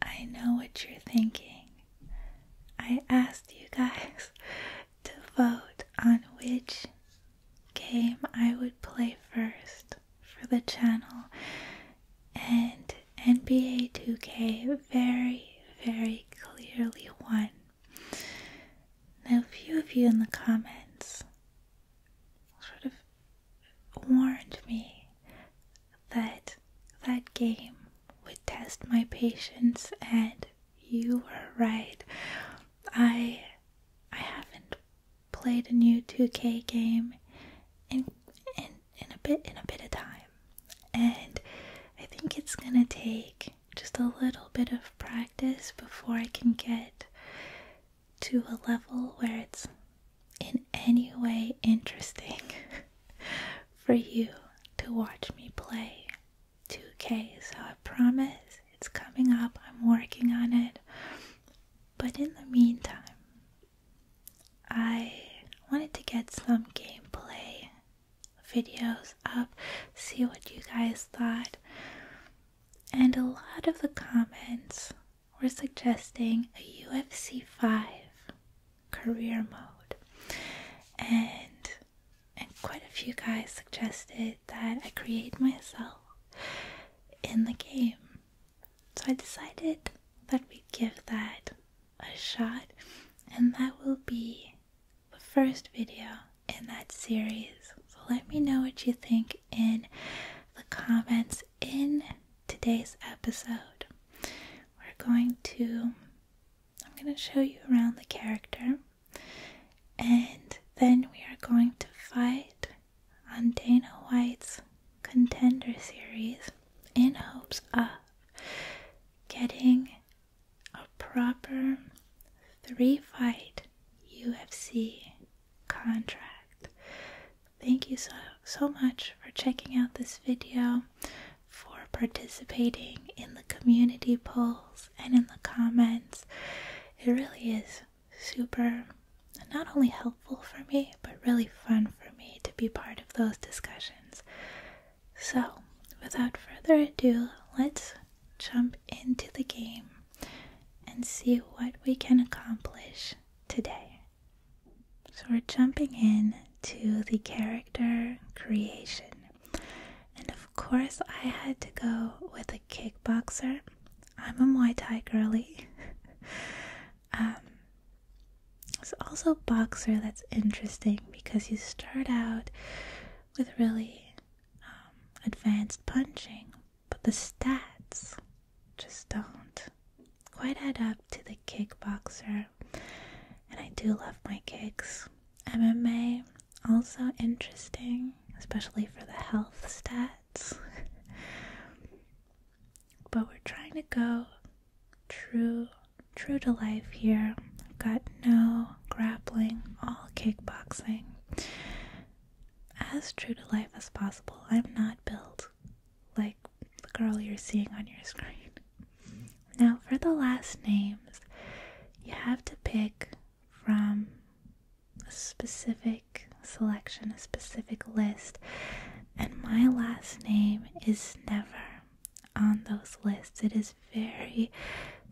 I know what you're thinking. I asked you guys to vote on which game I would play first for the channel, and NBA 2K very, very clearly won. Now, a few of you in the comments sort of warned me that that game would test my patience and you were right. I I haven't played a new 2K game in in in a bit in a bit of time. And I think it's going to take just a little bit of practice before I can get to a level where it's in any way interesting for you to watch me play 2K. So I promise it's coming up. I'm working on it. But in the meantime, I wanted to get some gameplay videos up, see what you guys thought. And a lot of the comments were suggesting a UFC 5 career mode. And and quite a few guys suggested that I create myself in the game. So I decided that we give that a shot and that will be the first video in that series. So let me know what you think in the comments in today's episode we're going to I'm going to show you around the character and then we are going to fight on Dana White's contender series in hopes of getting a proper three fight UFC contract. Thank you so, so much for checking out this video, for participating in the community polls and in the comments. It really is super, not only helpful for me, but really fun for me to be part of those discussions. So, without further ado, let's jump into the game and see what we can accomplish today. So we're jumping in to the character creation. And of course, I had to go with a kickboxer. I'm a Muay Thai girlie. Um, it's also boxer that's interesting because you start out with really um, advanced punching, but the stats just don't quite add up to the kickboxer and I do love my kicks. MMA also interesting, especially for the health stats. but we're trying to go true true to life here. got no grappling, all kickboxing. As true to life as possible. I'm not built like the girl you're seeing on your screen. Now, for the last names, you have to pick from a specific selection, a specific list, and my last name is never on those lists. It is very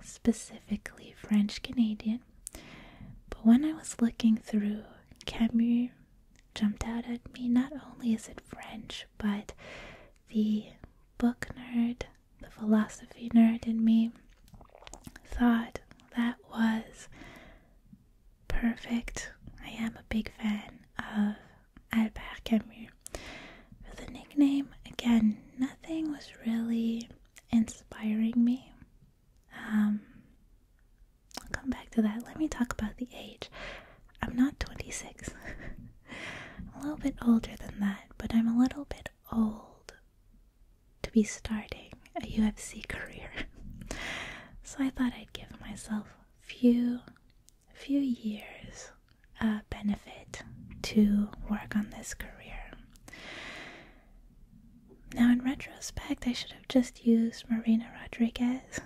specifically French Canadian. But when I was looking through, Camus jumped out at me. Not only is it French, but the book nerd, the philosophy nerd in me thought that was perfect. I am a big fan of Albert Camus. For the nickname, again, nothing was really inspiring me. Um, I'll come back to that. Let me talk about the age. I'm not 26. a little bit older than that, but I'm a little bit old to be starting a UFC career. so I thought I'd give myself a few few years uh, benefit to work on this career. Now in retrospect I should have just used Marina Rodriguez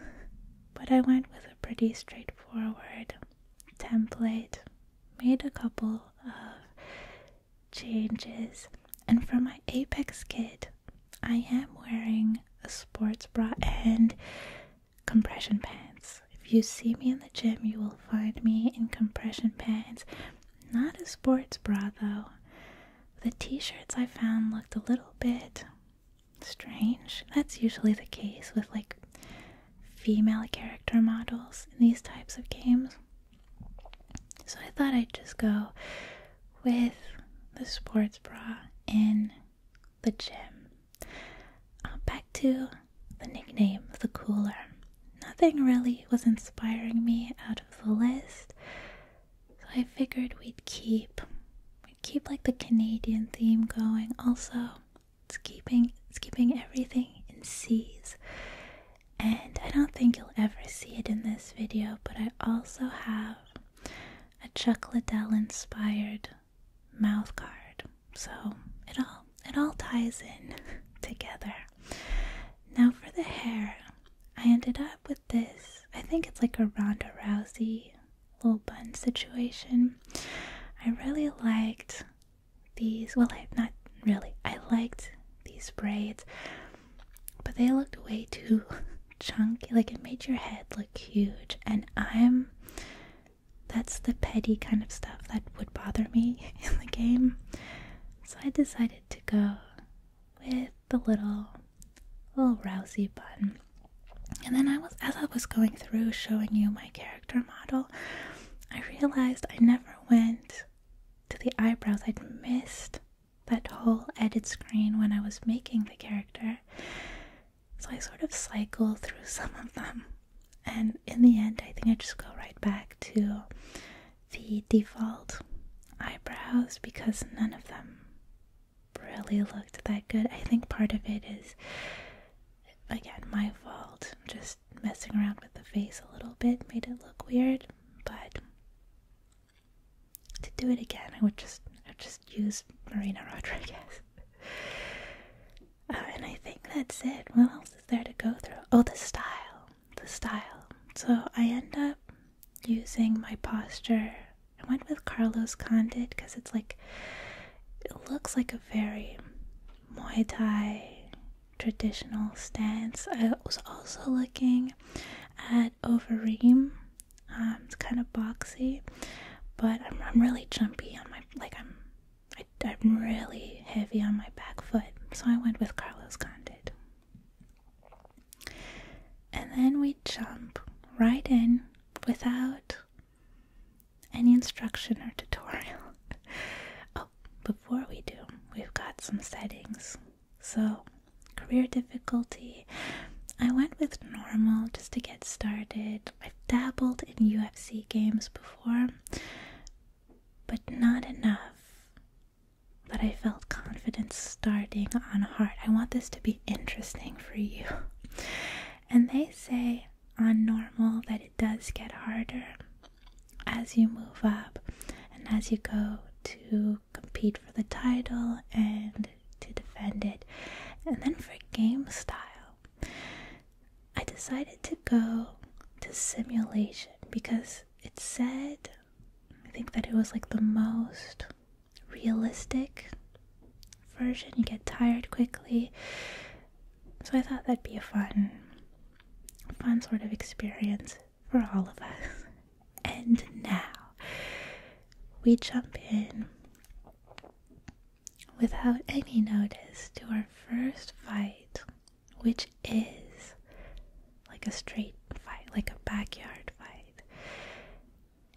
but I went with a pretty straightforward template, made a couple of changes, and for my Apex kit, I am wearing a sports bra and compression pants. If you see me in the gym, you will find me in compression pants. Not a sports bra though. The t shirts I found looked a little bit strange. That's usually the case with like female character models in these types of games. So I thought I'd just go with the sports bra in the gym. Uh, back to the nickname, the cooler. Nothing really was inspiring me out of the list, so I figured we'd keep keep like the Canadian theme going. Also, it's keeping it's keeping everything in C's. And I don't think you'll ever see it in this video, but I also have a Chuck Liddell inspired mouth guard. So it all it all ties in together. Now for the hair. I ended up with this. I think it's like a Ronda Rousey little bun situation. I really liked these. Well, I, not really. I liked these braids, but they looked way too chunky. Like it made your head look huge, and I'm. That's the petty kind of stuff that would bother me in the game. So I decided to go with the little, little rousy bun. And then I was as I was going through showing you my character model, I realized I never went to the eyebrows. I'd missed that whole edit screen when I was making the character. So I sort of cycle through some of them. And in the end, I think I just go right back to the default eyebrows because none of them really looked that good. I think part of it is, again, my fault. Just messing around with the face a little bit made it look weird, but to do it again, I would just, I would just use Marina Rodriguez. Uh, and I think that's it. What else is there to go through? Oh, the style. The style. So I end up using my posture I went with Carlos Condit because it's like it looks like a very Muay Thai traditional stance. I was also looking at Overeem. Um, it's kind of boxy, but I'm, really jumpy on my like I'm I, am i am really heavy on my back foot, so I went with Carlos Condit. And then we jump right in without any instruction or tutorial. oh, before we do, we've got some settings. So, career difficulty. I went with normal just to get started. I've dabbled in UFC games before, but not enough that I felt confident starting on hard. I want this to be interesting for you. And they say on normal that it does get harder as you move up and as you go to compete for the title and to defend it. And then for game style, I decided to go to simulation because it said, I think that it was like the most realistic version. You get tired quickly. So I thought that'd be a fun, fun sort of experience for all of us. And now we jump in without any notice to our first fight, which is like a straight fight, like a backyard fight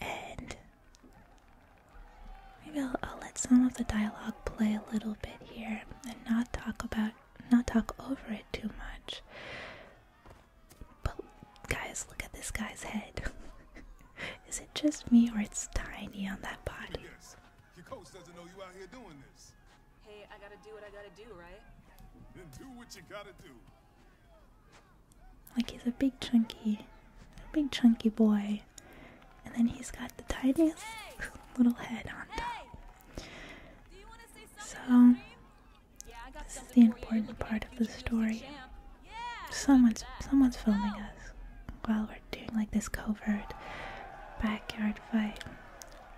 and maybe I'll, let some of the dialogue play a little bit here and not talk about not talk over it too much. But guys, look at this guy's head. Is it just me or it's tiny on that body? Hey, I gotta do what I gotta do, right? Then do what you gotta do. Like he's a big chunky, a big chunky boy and then he's got the tiniest little head on top. So, this is the important part of the story. Someone's someone's filming us while we're doing like this covert backyard fight,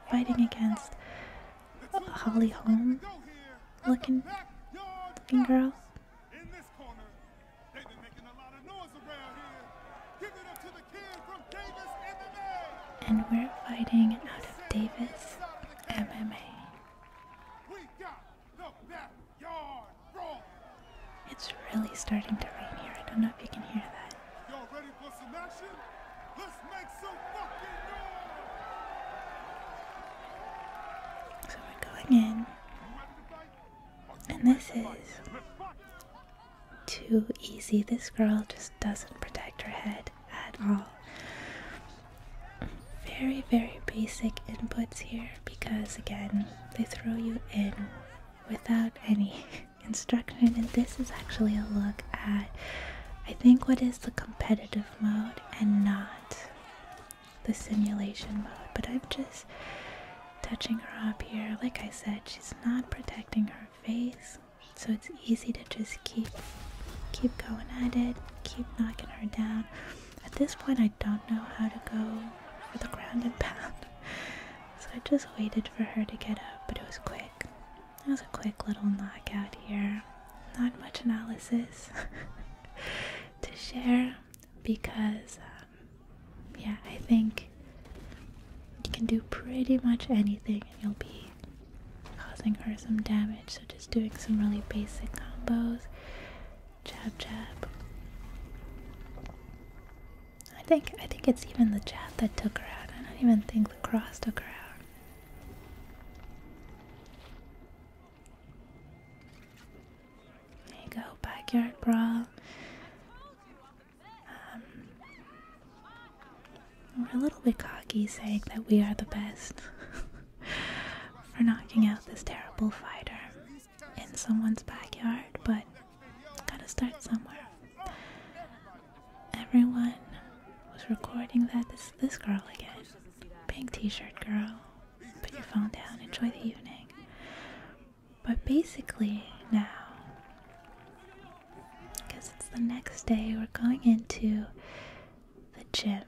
fighting against a Holly Holm looking looking girl. They've been making a lot of noise around here. Give it up to the kid from Davis And we're fighting out of Davis MMA. It's really starting to rain here. I don't know if you can hear that. So we're going in. And this is too easy. This girl just doesn't protect her head at all. Very, very basic inputs here because, again, they throw you in without any instruction. And this is actually a look at, I think, what is the competitive mode and not the simulation mode, but I'm just touching her up here. Like I said, she's not protecting her face, so it's easy to just keep keep going at it, keep knocking her down. At this point, I don't know how to go for the ground and pound, so I just waited for her to get up, but it was quick. It was a quick little knockout here. Not much analysis to share, because, um, yeah, I think you can do pretty much anything and you'll be causing her some damage. So just doing some really basic combos. Jab, jab. I think I think it's even the jab that took her out. I don't even think the cross took her out. There you go, backyard brawl. Um, we're a little bit cocky saying that we are the best for knocking out this terrible fighter in someone's backyard, but gotta start somewhere. Everyone was recording that this this girl again. Pink t-shirt girl. Put your phone down, enjoy the evening. But basically, now, because it's the next day, we're going into the gym.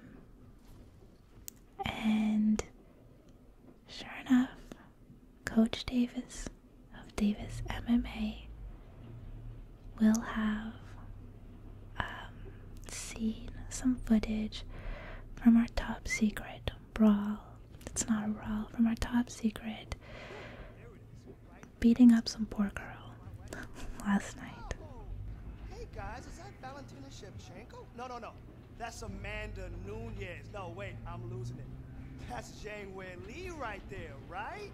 And sure enough, Coach Davis of Davis MMA will have um, seen some footage from our top secret brawl. It's not a brawl from our top secret. Beating up some poor girl last night. Hey guys, is that Valentina Shevchenko? No, no, no. That's Amanda Nunez. No, wait, I'm losing it. That's Jane Wen Lee right there, right?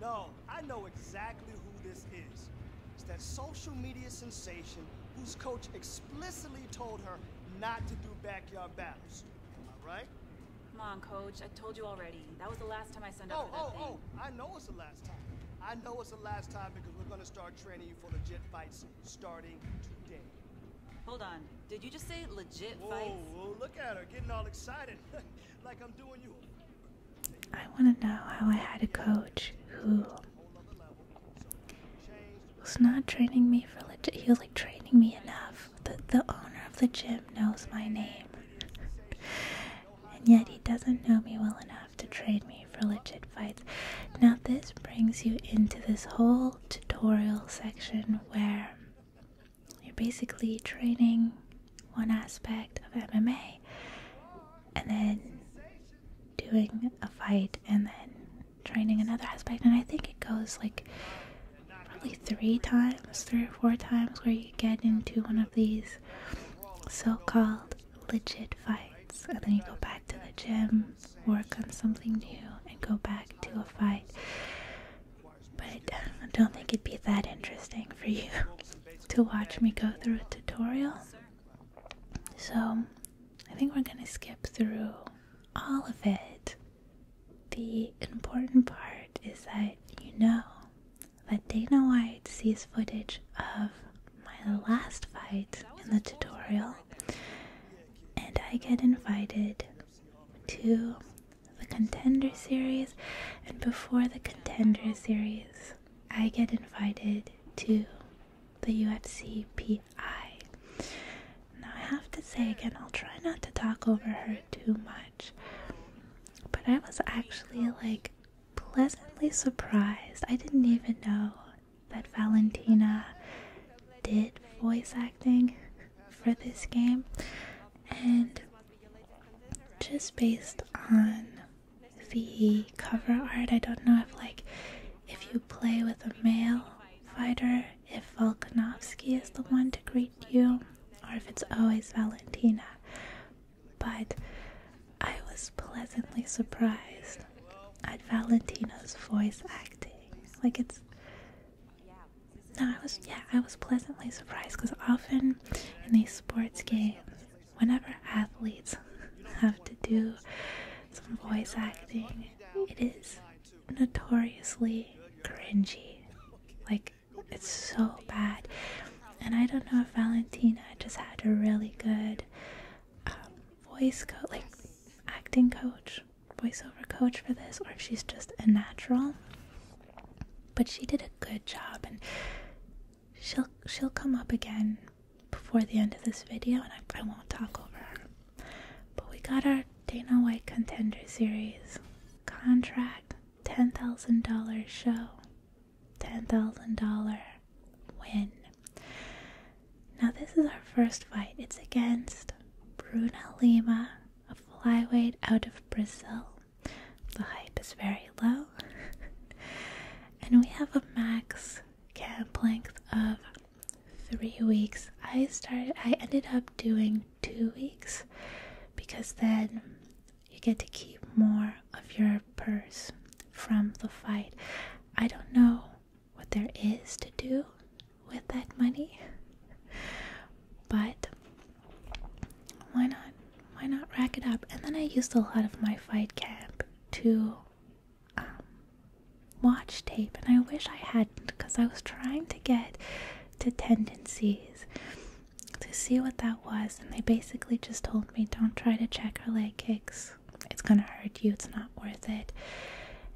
No, I know exactly who this is. It's that social media sensation whose coach explicitly told her not to do back right? Come on, coach. I told you already. That was the last time I sent out oh, that oh, thing. Oh. I know it's the last time. I know it's the last time because we're gonna start training you for the jet fights starting today. Hold on. Did you just say legit whoa, fights? Whoa, look at her getting all excited. like I'm doing you. I want to know how I had a coach who was not training me for legit. He was like training me enough that the owner of the gym knows my name. and yet he doesn't know me well enough to train me for legit fights. Now, this brings you into this whole tutorial section where you're basically training one aspect of MMA and then doing a fight and then training another aspect and i think it goes like probably three times three or four times where you get into one of these so-called legit fights and then you go back to the gym work on something new and go back to a fight but i don't think it'd be that interesting for you to watch me go through a tutorial so i think we're gonna skip through all of it. The important part is that you know that Dana White sees footage of my last fight in the tutorial, and I get invited to the Contender series, and before the Contender series, I get invited to the UFC PI eye. Now, I have to say again, I'll try not to talk over her too much, but I was actually like pleasantly surprised. I didn't even know that Valentina did voice acting for this game, and just based on the cover art, I don't know if, like, if you play with a male fighter, if Volkanovsky is the one to greet you or if it's always Valentina, but I was pleasantly surprised at Valentina's voice acting. Like it's no, I was yeah, I was pleasantly surprised because often in these sports games, whenever athletes have to do some voice acting, it is notoriously cringy. Like, it's so bad. And I don't know if Valentina just had a really good um, voice coach, like acting coach, voiceover coach for this, or if she's just a natural. But she did a good job, and she'll she'll come up again before the end of this video, and I won't talk over her. But we got our Dana White Contender Series contract, $10,000 show, $10,000 win. Now, this is our first fight. It's against Bruna Lima, a flyweight out of Brazil. The hype is very low. and we have a max camp length of three weeks. I started, I ended up doing two weeks because then you get to keep more of your purse from the fight. I don't know what there is to do with that money, but why not? Why not rack it up? And then I used a lot of my fight camp to um, watch tape, and I wish I hadn't because I was trying to get to tendencies to see what that was, and they basically just told me don't try to check or leg kicks, it's gonna hurt you, it's not worth it.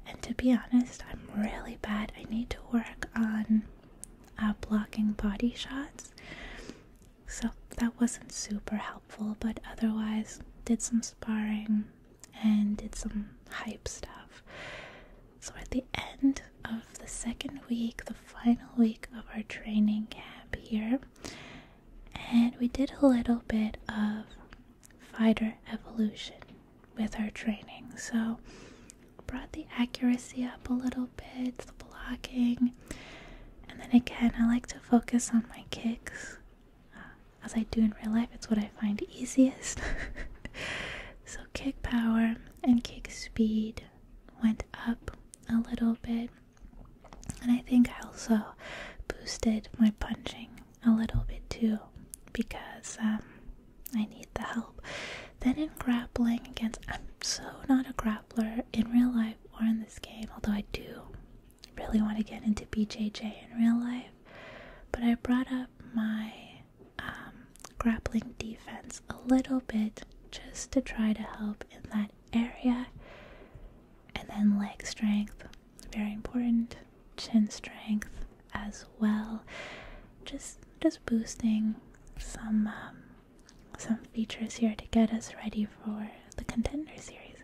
And to be honest, I'm really bad. I need to work on uh, blocking body shots, so that wasn't super helpful, but otherwise, did some sparring and did some hype stuff. So, at the end of the second week, the final week of our training camp here, and we did a little bit of fighter evolution with our training. So, brought the accuracy up a little bit, the blocking, and then again, I like to focus on my kicks. Uh, as I do in real life, it's what I find easiest. so, kick power and kick speed went up a little bit, and I think I also boosted my punching a little bit too because um, I need the help. Then, in grappling against, I'm so not a grappler in real life or in this game, although I do really want to get into BJJ in real life. But I brought up my um, grappling defense a little bit just to try to help in that area. And then leg strength, very important, chin strength as well. Just just boosting some um, some features here to get us ready for the contender series.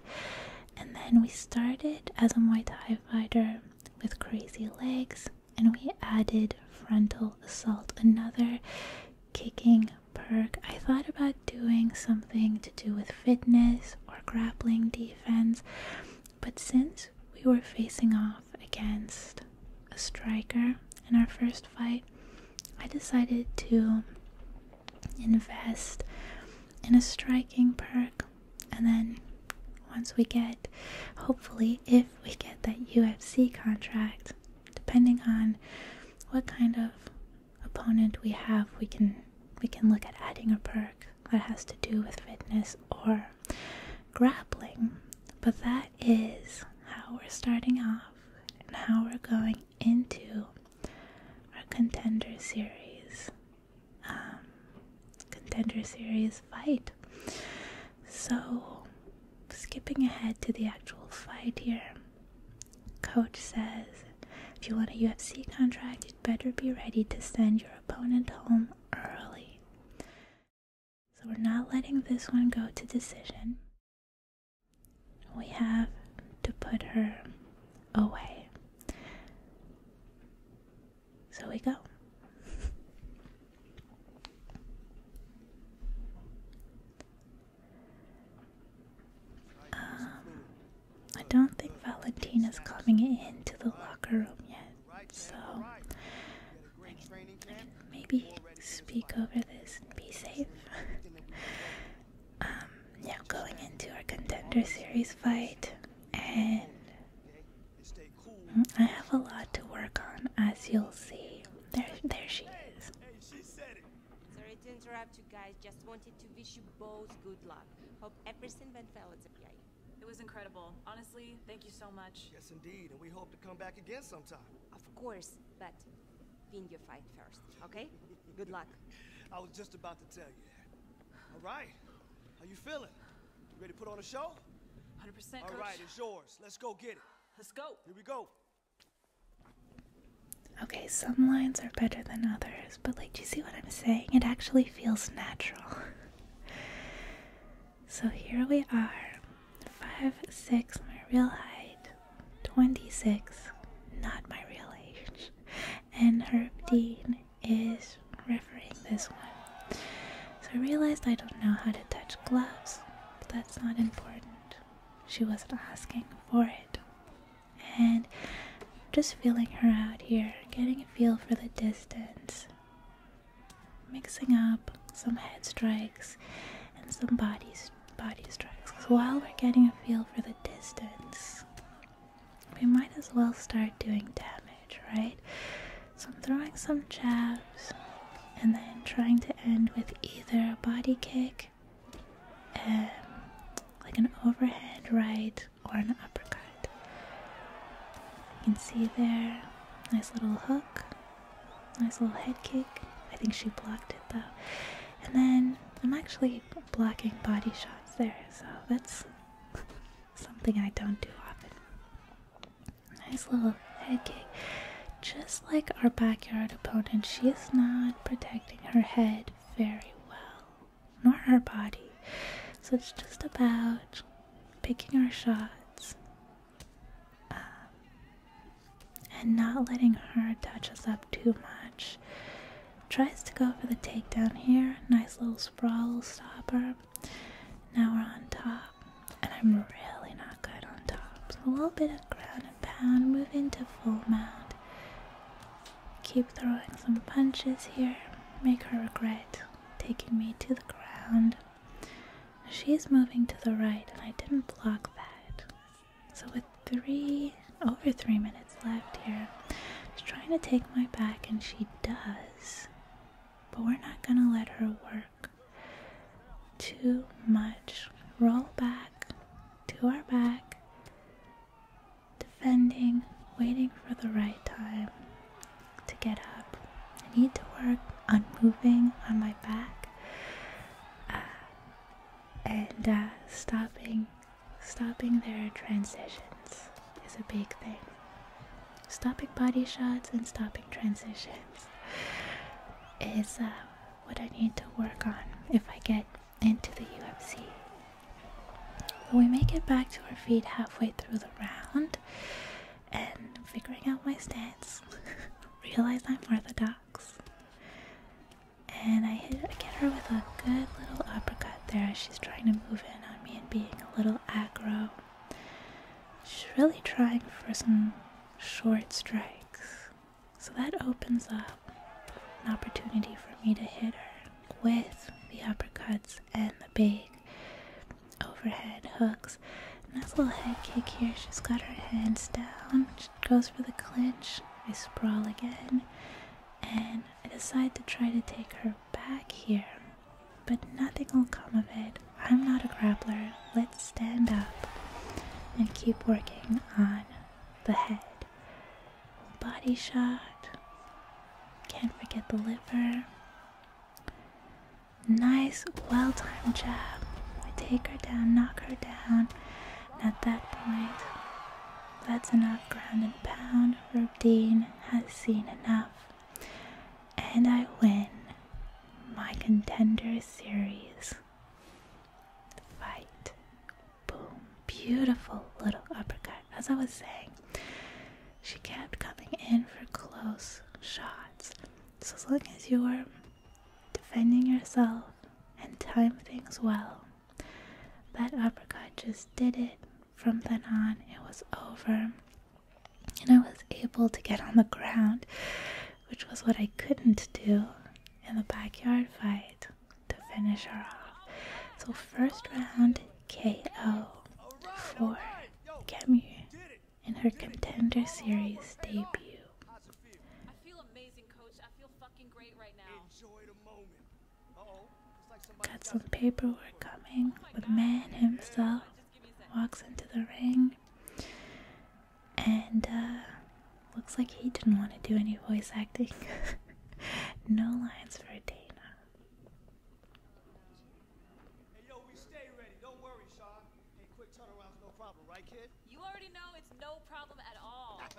And then we started as a Muay Thai fighter with crazy legs, and we added frontal assault, another kicking perk. I thought about doing something to do with fitness or grappling defense, but since we were facing off against a striker in our first fight, I decided to invest in a striking perk and then once we get, hopefully, if we get that UFC contract, depending on what kind of opponent we have, we can we can look at adding a perk that has to do with fitness or grappling. But that is how we're starting off and how we're going into our contender series um, contender series fight. So, skipping ahead to the actual fight here, coach says if you want a UFC contract, you'd better be ready to send your opponent home early. So, we're not letting this one go to decision. We have to put her away. So we go. Um, I don't think Valentina's coming into the locker room yet, so maybe speak over this and be safe. Um, yeah, going into our contender series fight, and I have a lot to work on, as you'll see. There, there she is. Sorry to interrupt you guys. Just wanted to wish you both good luck. Hope everything went well at the PI. It was incredible. Honestly, thank you so much. Yes, indeed, and we hope to come back again sometime. Of course, but win your fight first, okay? good luck. I was just about to tell you All right, how you feeling? ready to put on a show? 100%, All coach. right, it's yours. Let's go get it. Let's go. Here we go. Okay, some lines are better than others, but like, do you see what I'm saying? It actually feels natural. so here we are. 5, 6, my real height. 26, not my real age. And Herb Dean is refereeing this one. So I realized I don't know how to touch gloves, but that's not important. She wasn't asking for it. And just feeling her out here, getting a feel for the distance, mixing up some head strikes and some body, body strikes. Because while we're getting a feel for the distance, we might as well start doing damage right? So I'm throwing some jabs and then trying to end with either a body kick, and um, like an overhead right, or an uppercut. You can see there, nice little hook, nice little head kick. I think she blocked it though. And then I'm actually blocking body shots there, so that's something I don't do often. Nice little head kick. Just like our backyard opponent, she is not protecting her head very well, nor her body. So it's just about picking our shots um, and not letting her touch us up too much. Tries to go for the takedown here. Nice little sprawl stopper. Now we're on top, and I'm really not good on top. So a little bit of ground and pound, move into full mount. Keep throwing some punches here, make her regret taking me to the ground. She's moving to the right, and I didn't block that. So with three over three minutes left here, she's trying to take my back, and she does but we're not gonna let her work too much. Roll back to our back, defending, waiting for the right time to get up. I need to work on moving on my back uh, and uh, stopping, stopping their transitions is a big thing. Stopping body shots and stopping transitions is uh, what I need to work on if I get into the UFC. But we make it back to our feet halfway through the round and figuring out my stance, realize I'm orthodox. And I hit I get her with a good little uppercut there as she's trying to move in on me and being a little aggro. She's really trying for some short strikes. So that opens up an opportunity for me to hit her with the uppercuts and the big overhead hooks. Nice little head kick here. She's got her hands down. She goes for the clinch. I sprawl again. And I decide to try to take her back here. But nothing will come of it. I'm not a grappler. Let's stand up and keep working on the head. Body shot. Can't forget the liver. Nice, well timed jab. We take her down, knock her down. at that point, that's enough ground and pound. Rubdeen has seen enough and I win my contender series fight. Boom. Beautiful little uppercut. As I was saying, she kept coming in for close shots. So, as long as you are defending yourself and time things well, that uppercut just did it. From then on, it was over and I was able to get on the ground, which was what I couldn't do in the backyard fight to finish her off. So, first round KO for Camus in her Contender Series debut. I feel amazing, coach. I feel fucking great right now. Enjoy Got some paperwork coming. The man himself walks into the ring and uh, looks like he didn't want to do any voice acting. no lines for Dana. Hey, yo, we stay ready. Don't worry, Sean. Hey, quick turnaround's no problem, right, kid? You already know it's no problem at all.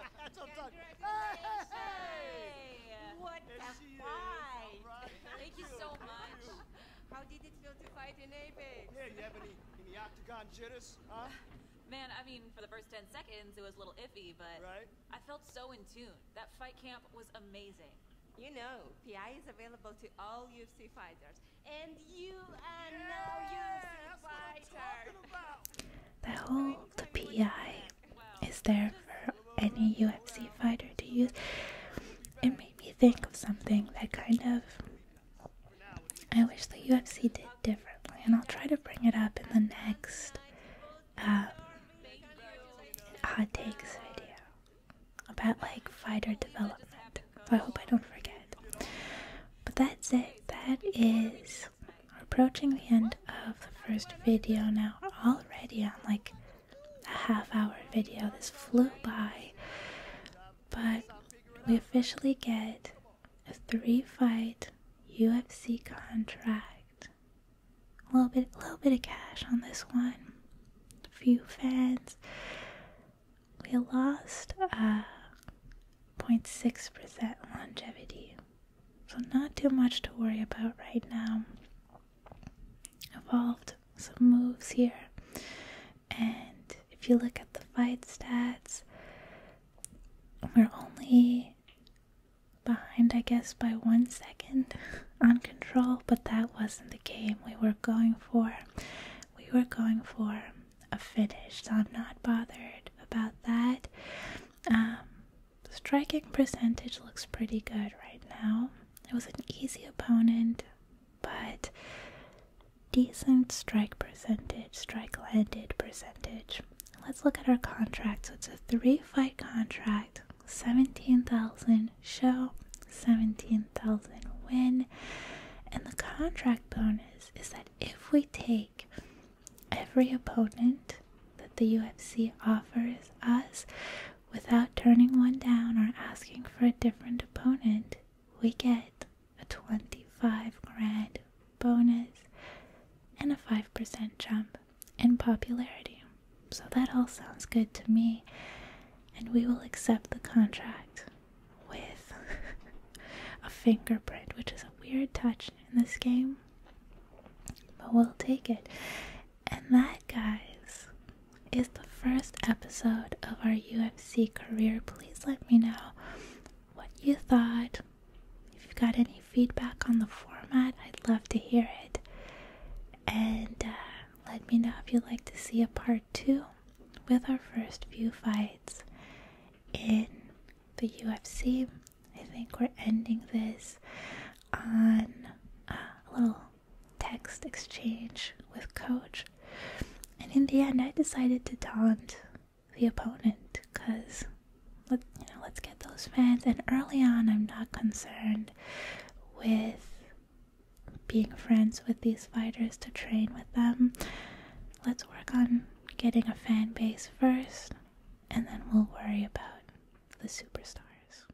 How did it feel to fight in Apex? Yeah, you have any, any octagon jitters, huh? Man, I mean, for the first 10 seconds, it was a little iffy, but right? I felt so in tune. That fight camp was amazing. You know, PI is available to all UFC fighters, and you are yeah, no UFC fighter. Now, the PI is there for any UFC fighter to use. It made me think of something that kind of I wish the UFC did differently, and I'll try to bring it up in the next um, hot takes video about like fighter development. I hope I don't forget. But that's it. That is approaching the end of the first video now. Already on like a half hour video. This flew by. But we officially get a three fight UFC contract. A little bit a little bit of cash on this one. A few fans. We lost a uh, 0.6% longevity. So not too much to worry about right now evolved some moves here. And if you look at the fight stats, we're only behind, I guess, by one second on control, but that wasn't the game we were going for. We were going for a finish, so I'm not bothered about that. Um, striking percentage looks pretty good right now. It was an easy opponent, but decent strike percentage, strike landed percentage. Let's look at our contract. So it's a three fight contract 17,000 show, 17,000 win. And the contract bonus is that if we take every opponent that the UFC offers us, without turning one down or asking for a different opponent, we get a 25 grand bonus and a 5% jump in popularity. So that all sounds good to me, and we will accept the contract with a fingerprint, which is a weird touch in this game, but we'll take it. And that, guys, is the first episode of our UFC career. Please let me know what you thought. If you got any feedback on the format, I'd love to hear it. And uh, let me know if you'd like to see a part two with our first few fights in the UFC. I think we're ending this on uh, a little text exchange with Coach. And in the end, I decided to taunt the opponent because let us get those fans. And early on, I'm not concerned with being friends with these fighters to train with them. Let's work on getting a fan base first, and then we'll worry about the superstars.